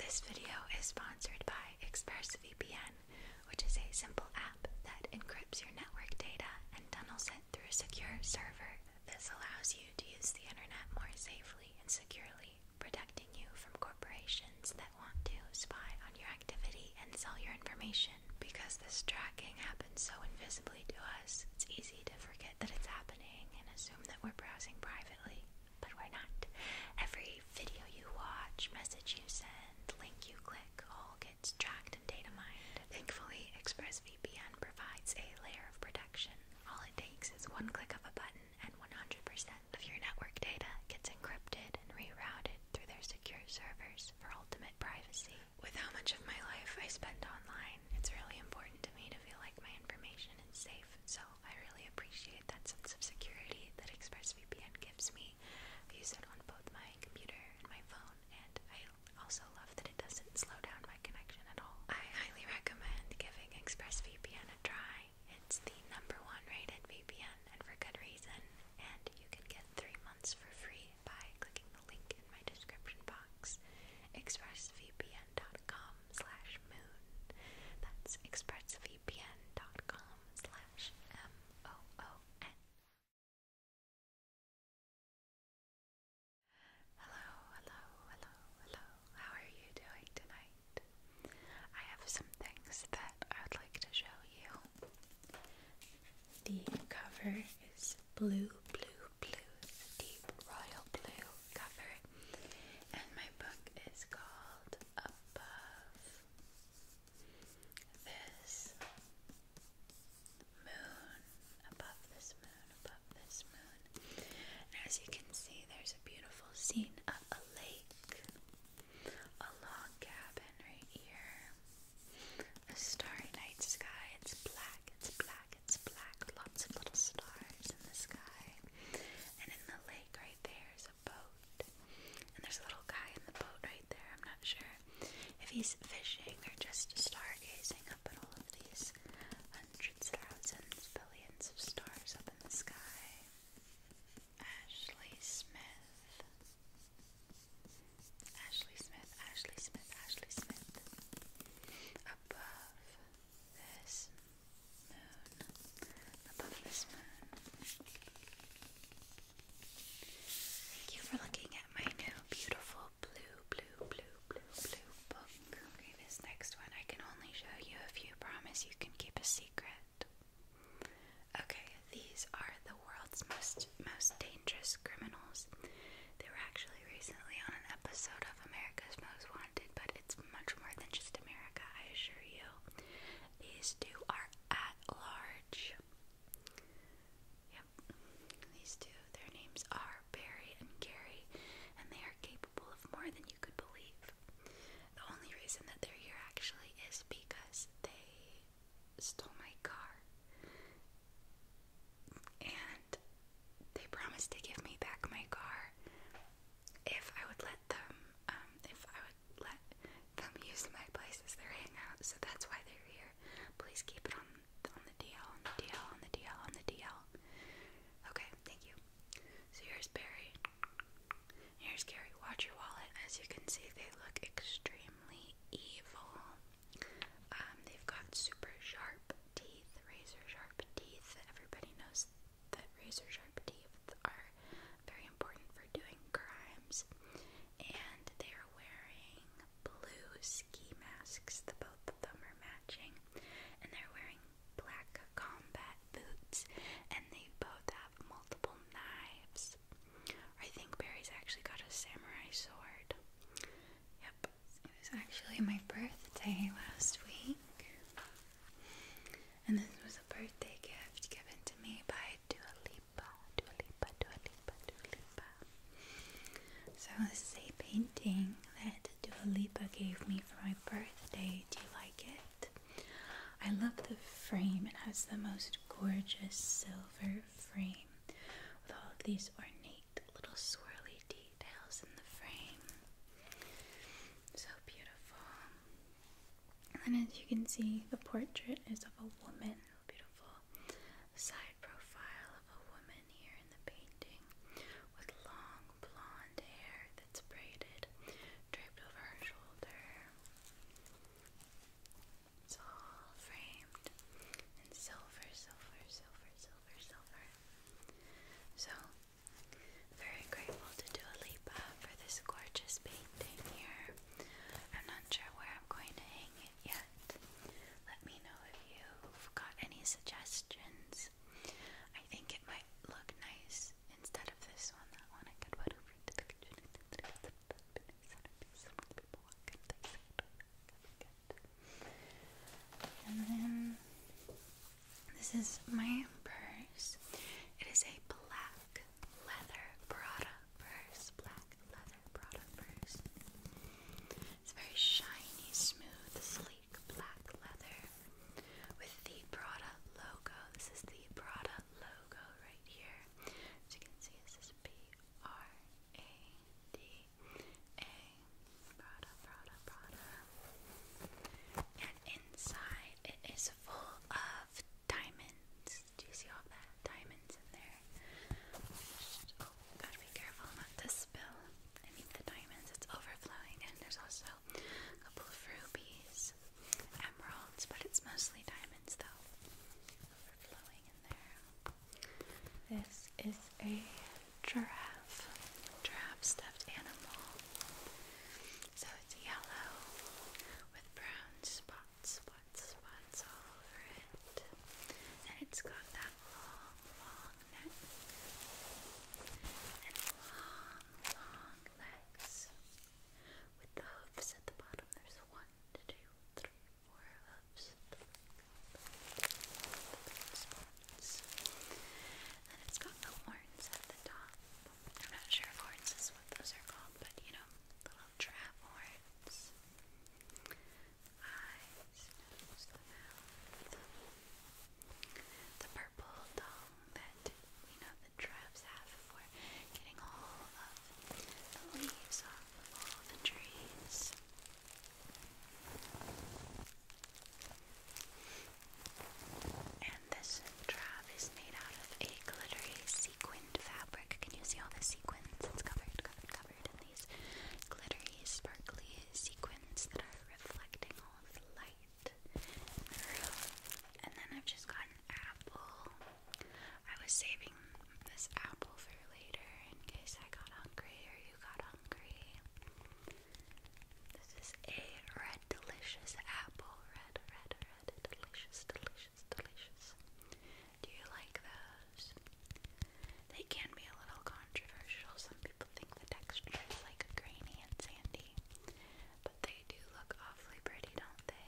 This video is sponsored by ExpressVPN, which is a simple app that encrypts your network data and tunnels it through a secure server. This allows you to use the internet more safely and securely, protecting you from corporations that want to spy on your activity and sell your information. Because this tracking happens so invisibly to us, it's easy to forget that it's happening and assume that we're browsing privately but we're not. Every video you watch, message you send, link you click, all gets tracked and data mined. Thankfully, ExpressVPN provides a layer of protection. All it takes is one click of a button, and 100% of your network data gets encrypted and rerouted through their secure servers for ultimate privacy. With how much of my life I spend online, it's really important to me to feel like my information is safe, so I really appreciate that sense of security that ExpressVPN gives me. I use it on both my computer and my phone, and I also love that it doesn't slow down my connection at all. I highly recommend giving ExpressVPN a try. It's the number one rated VPN, and for good reason. And you can get three months for free by clicking the link in my description box. ExpressVPN expressvpn.com slash moon. That's expressvpn.com M-O-O-N. Hello, hello, hello, hello. How are you doing tonight? I have some things that I would like to show you. The cover is blue, blue, blue, deep royal blue cover and my book is called Above This Moon, Above This Moon, Above This Moon. as you can see, there's a beautiful scene of a lake, a log cabin right here, a starry night sky. It's black, it's black, black. It's black, lots of little stars in the sky. And in the lake right there is a boat. And there's a little guy in the boat right there. I'm not sure if he's fishing or just stargazing up at all of these hundreds, thousands, billions of stars up in the sky. Ashley Smith. Ashley Smith, Ashley Smith, Ashley Smith. Above this moon, above this moon. Thank you for looking at my new beautiful blue, blue, blue, blue, blue book. Okay, this next one I can only show you if you promise you can keep a secret. Okay, these are the world's most most dangerous criminals. They were actually recently on an episode of America's Most Wanted, but that it's much more than just America, I assure you. These two are at large. Yep, these two, their names are Barry and Gary, and they are capable of more than you could believe. The only reason that they're here actually is because they stole my car. And and they promised to give me back my car if I would let them, um, if I would let them use my place as their hangout. So that's why they're here. Please keep it on on the DL, on the DL, on the DL, on the DL. Okay, thank you. So here's Barry. Here's Gary. Watch your wallet. As you can see, they look extremely evil. Um, they've got super sharp teeth, razor sharp teeth. Everybody knows that razor sharp teeth are very important for doing crimes. And they are wearing blue ski masks. The both of them are matching. And they're wearing black combat boots. And they both have multiple knives. I think Barry's actually got a samurai sword. Yep. It was actually my birthday last week. And this was a birthday gift given to me by Dua Lipa, Dua Lipa, Dua Lipa, Dua Lipa. So this is a painting that Dua Lipa gave me for my birthday. Do you like it? I love the frame. It has the most gorgeous silver frame with all of these ornate little swirly details in the frame. So beautiful. And as you can see, the portrait is of a woman. Beautiful side profile of a woman here in the painting with long blonde hair that's braided, draped over her shoulder. It's all framed in silver, silver, silver, silver, silver. So, very grateful to Dua for this gorgeous painting here. I'm not sure where I'm going to hang it yet. Let me know if you've got any suggestions. I think it might look nice instead of this one. That one I could put over to the kitchen. Some people walk into the and then this is my purse. It is a black leather Prada purse. Black leather Prada purse. It's very shiny, smooth, sleek black leather with the Prada logo. This is the Prada logo right here. As you can see, it says P R A D and inside it is full of diamonds. Do you see all that? Diamonds in there. oh, gotta be careful not to spill any of the diamonds. It's overflowing, and there's also a couple of rubies, emeralds, but it's mostly diamonds though. Overflowing in there. This is a giraffe, giraffe stuffed animal. So it's yellow with brown spots, spots, spots all over it. And it's got that long, long neck and long, long legs. With the hooves at the bottom, there's one, two, three, forearms, and it's got the horns at the top. I'm not sure horns is what those are called, but you know, little trap horns. Eyes, nose, the purple tongue that we know the traps have for getting all of the leaves off of all the trees. And this drab is made out of a glittery sequined fabric. Can you see all the sequins? It's covered, covered, covered in these glittery, sparkly sequins that are reflecting all of the light And then I've just got an apple. I was saving this apple for later in case I got hungry or you got hungry. This is a red delicious apple. Red, red, red, delicious, delicious, delicious. Do you like those? They can be a little controversial. Some people think the texture is like grainy and sandy. But they do look awfully pretty, don't they?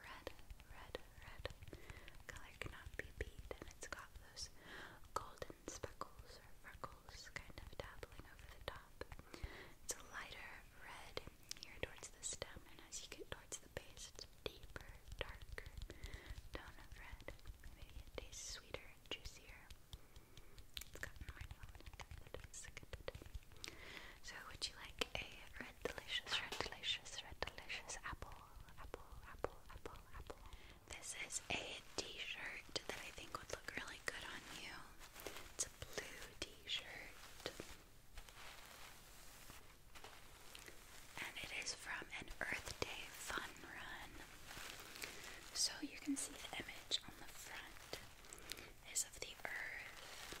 red, red, red color cannot be beat, and it's got those golden speckles or freckles kind of dabbling over the top. It's a lighter red here towards the stem, and as you get towards the base, it's deeper, darker tone of red. it tastes sweeter juicier. It's got marshmallow in it, So, would you like a red delicious, red delicious, red delicious apple, apple, apple, apple? This is a t-shirt that I think would look really good on you. It's a blue t-shirt. And it is from an Earth Day fun run. So you can see the image on the front is of the earth.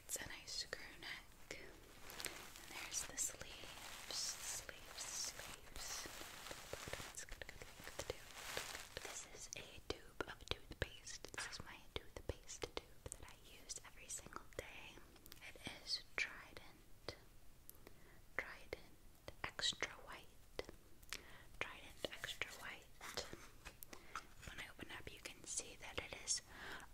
It's a nice screw neck. And there's the sleeves, sleeves, sleeves. That's This is a tube of toothpaste. This is my toothpaste tube that I use every single day. It is Trident. Trident Extra White. Trident Extra White. When I open up, you can see that it is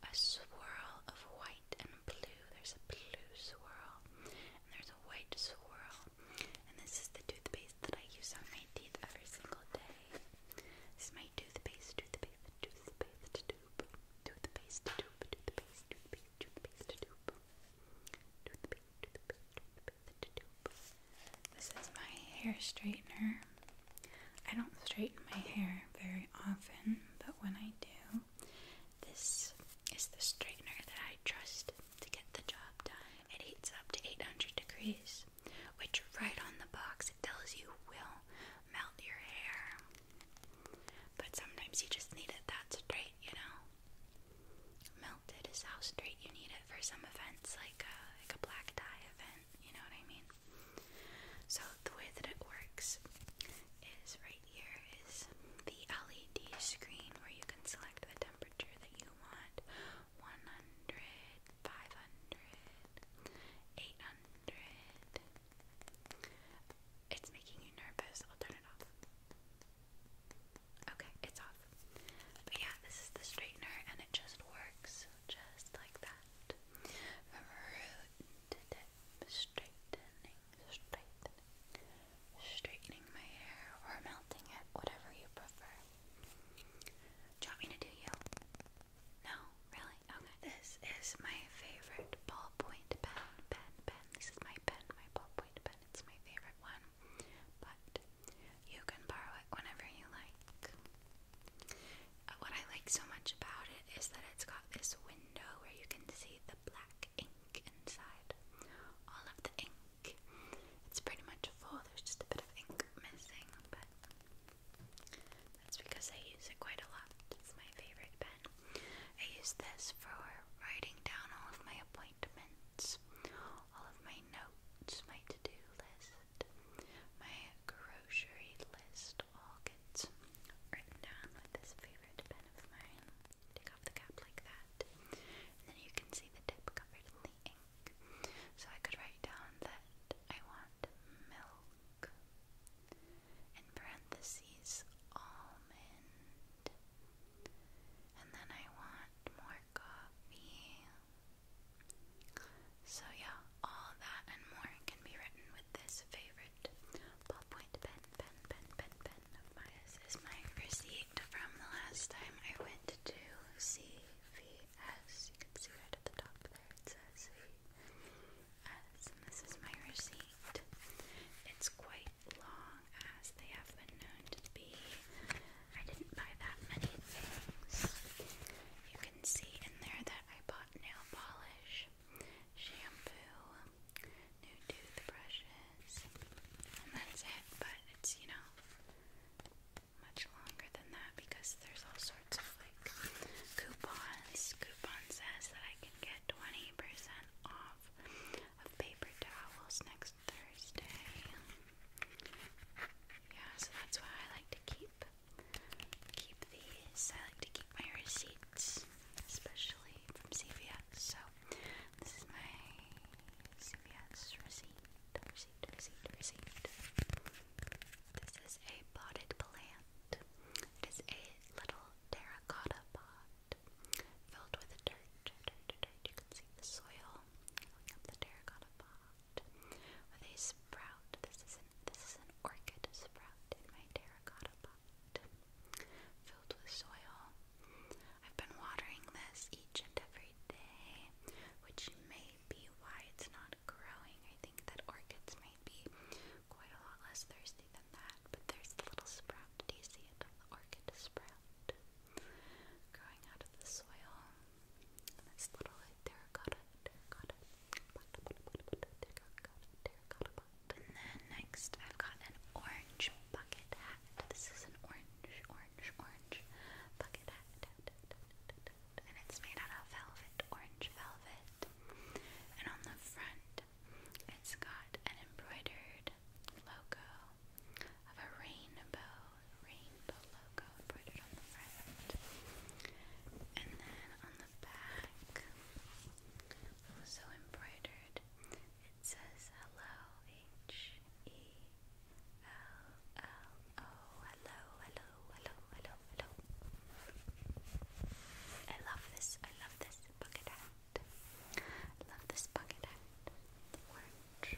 a swirl of white and blue. There's a blue swirl, and there's a white swirl. And this is the toothpaste that I use on my teeth every single day. This is my toothpaste, toothpaste, toothpaste, tube, toothpaste, tube, toothpaste, toothpaste, toothpaste, tube, toothpaste, toothpaste, toothpaste, tube. This is my hair straightener. I don't straighten my hair very often, but when I do, this is the straightener that I trust to get the job done. It heats up to 800 degrees, which right on the box it tells you will melt your hair. But sometimes you just need it that straight, you know? Melted is how straight you need it for some events like a, like a black tie event you know what I mean? So the way that it works is right here is the LED screen where you can select the temperature that you want 100, 800. It's making you nervous. I'll turn it off. Okay, it's off. But yeah, this is the straightener and it just works just like that. straightening, straightening, my hair or melting it, whatever you prefer. want me to do you? No, really? Okay. This is my favorite ballpoint pen, pen, pen. This is my pen, my ballpoint pen. It's my favorite one. But you can borrow it whenever you like. Uh, what I like so much about it is that it's got this window where you can see the black ink inside. All of the ink. It's pretty much full, there's just a bit of ink missing, but that's because I use it quite a lot. It's my favorite pen. I use this for writing down all of my appointments, all of my notes, my to do list, my grocery list all gets written down with this favorite pen of mine. Take off the cap like that. And then you can see the tip covered in the ink. So I could write down that I want milk. In parentheses, almond. And then I want more coffee. So, yeah, all that and more can be written with this favorite ballpoint pen, pen, pen, pen, pen of mine. This is my receipt from the last time I went to CVS. You can see right at the top there it says CVS. And this is my receipt. It's quite long as they have been going to be. I didn't buy that many things. You can see in there that I bought nail polish, shampoo, new toothbrushes, and that's it. But it's, you know, much longer than that because there's all sorts of like coupons. Coupon says that I can get 20% off of paper towels next next Thursday. Yeah, so that's why I like to keep keep these. I like to keep my receipts, especially from CVS. So this is my CVS receipt, receipt, receipt, receipt. This is a potted plant. It is a little terracotta pot filled with dirt. dirt, dirt, dirt. You can see the soil filling up the terracotta with a sprout. This is this is an orchid sprout in my terracotta pot. Filled with soil. I've been watering this each and every day, which may be why it's not growing. I think that orchids may be quite a lot less thirsty than that, but there's the little sprout. Do you see it? The orchid sprout growing out of the soil. this little terracotta, terracotta, terracotta, terracotta And then next, I've got an orange bucket hat. This is an orange, orange, orange bucket hat. And it's made out of velvet, orange velvet. And on the front, it's got an embroidered logo of a rainbow, rainbow logo embroidered on the front. And then on the back, also embroidered, it says hello, H-E-L-L-O, hello, hello, hello, hello, hello. I love this, I love this bucket hat. I love this bucket hat. The orange.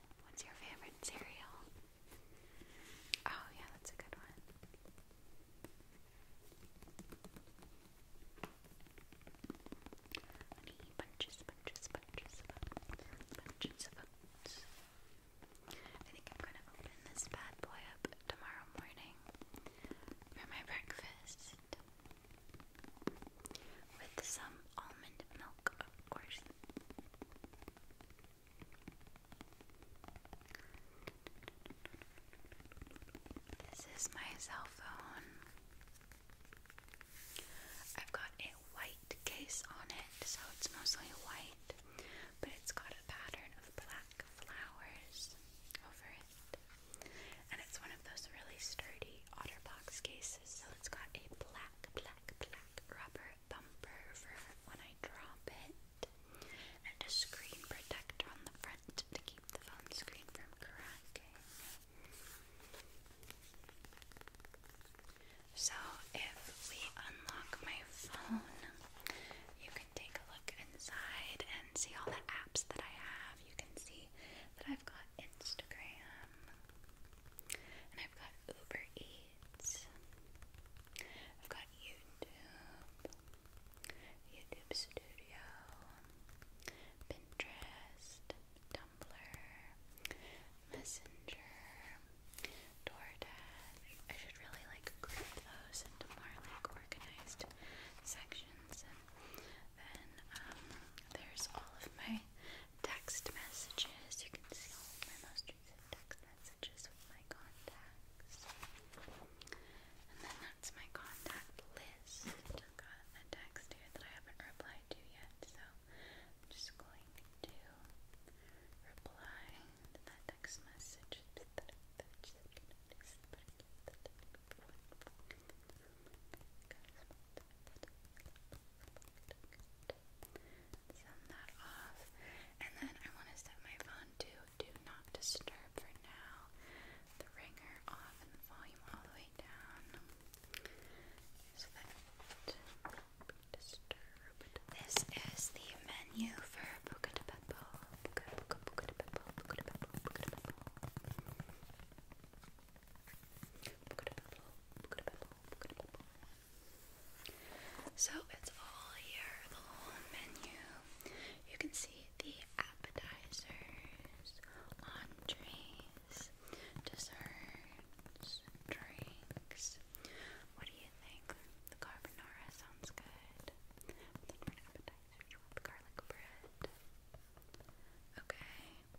What's your favorite cereal? Oh, yeah, that's a good one. Honey, bunches, bunches, bunches of oats. I think I'm gonna open this bad boy up tomorrow morning for my breakfast with some almond milk, of course. This is my cell phone. I've got a white case on it, so it's mostly white, but it's got a pattern of black flowers over it. And it's one of those really sturdy OtterBox cases. So it's got a black, black, black rubber bumper for when I drop it, and a screen protector on the front to keep the phone screen from cracking. So if we unlock my phone, you can take a look inside and see all the apps that I have. You can see that I've got Instagram, and I've got Uber Eats. I've got YouTube. YouTube Studio. Pinterest. Tumblr. Messenger. DoorDash. I should really like group those into more like organized sections and then um, there's all of my text messages. You can see all my most text messages with my contacts. And then that's my contact list. got a text here that I haven't replied to yet, so just going to reply that text message. Send that off. And then I want to set my phone to do not disturb for now. The ringer off and the volume all the way down. So that disturbed. This is the menu for Boca de Beppo. So it's all here, the whole menu. You can see the appetizers, entrees, desserts, drinks. What do you think? The carbonara sounds good. Then for an appetizer, you want the garlic bread. Okay.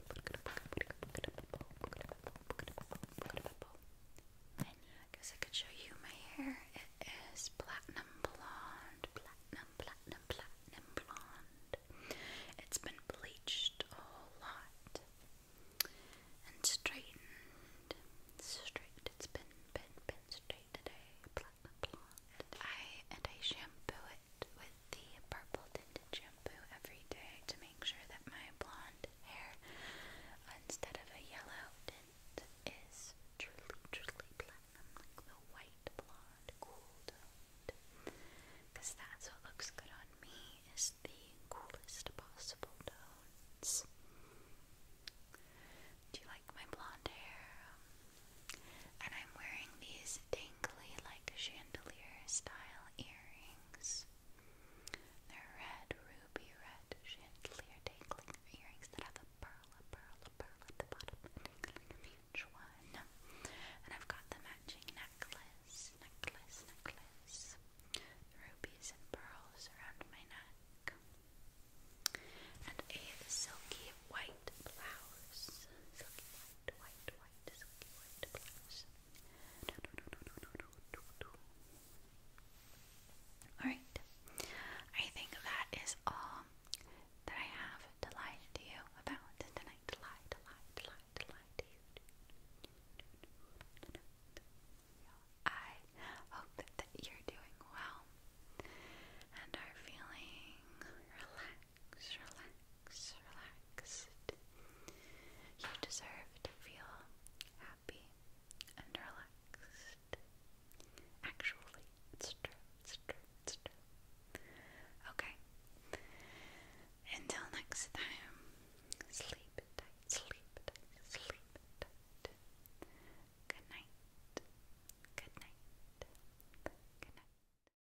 I guess I could show you my hair. It is platinum blonde, platinum, platinum, platinum blonde. It's been bleached a whole lot and straightened, straightened. It's been, been, been straight today. Platinum blonde. And I and I shampoo it with the purple tinted shampoo every day to make sure that my blonde hair, instead of a yellow tint, is truly, truly platinum, like the white blonde cool Because that's what looks good on me, is the coolest possible tones. Do you like my blonde hair? Um, and I'm wearing these like chandelier style earrings. They're red, ruby red chandelier dangling earrings that have a pearl, a pearl, a pearl at the bottom of each one. And I've got the matching necklace, necklace, necklace. Rubies and pearls around my neck. And a silky white blouse. Silky white, white, Alright, I think that is all that I have to lie to you about tonight. I hope that you're doing well and are feeling relaxed relax, relaxed. You deserve to feel happy and relaxed. Actually, it's true, it's true, it's true. Okay. Until next time, sleep tight, sleep tight, sleep tight. Good night. Good night. Good night.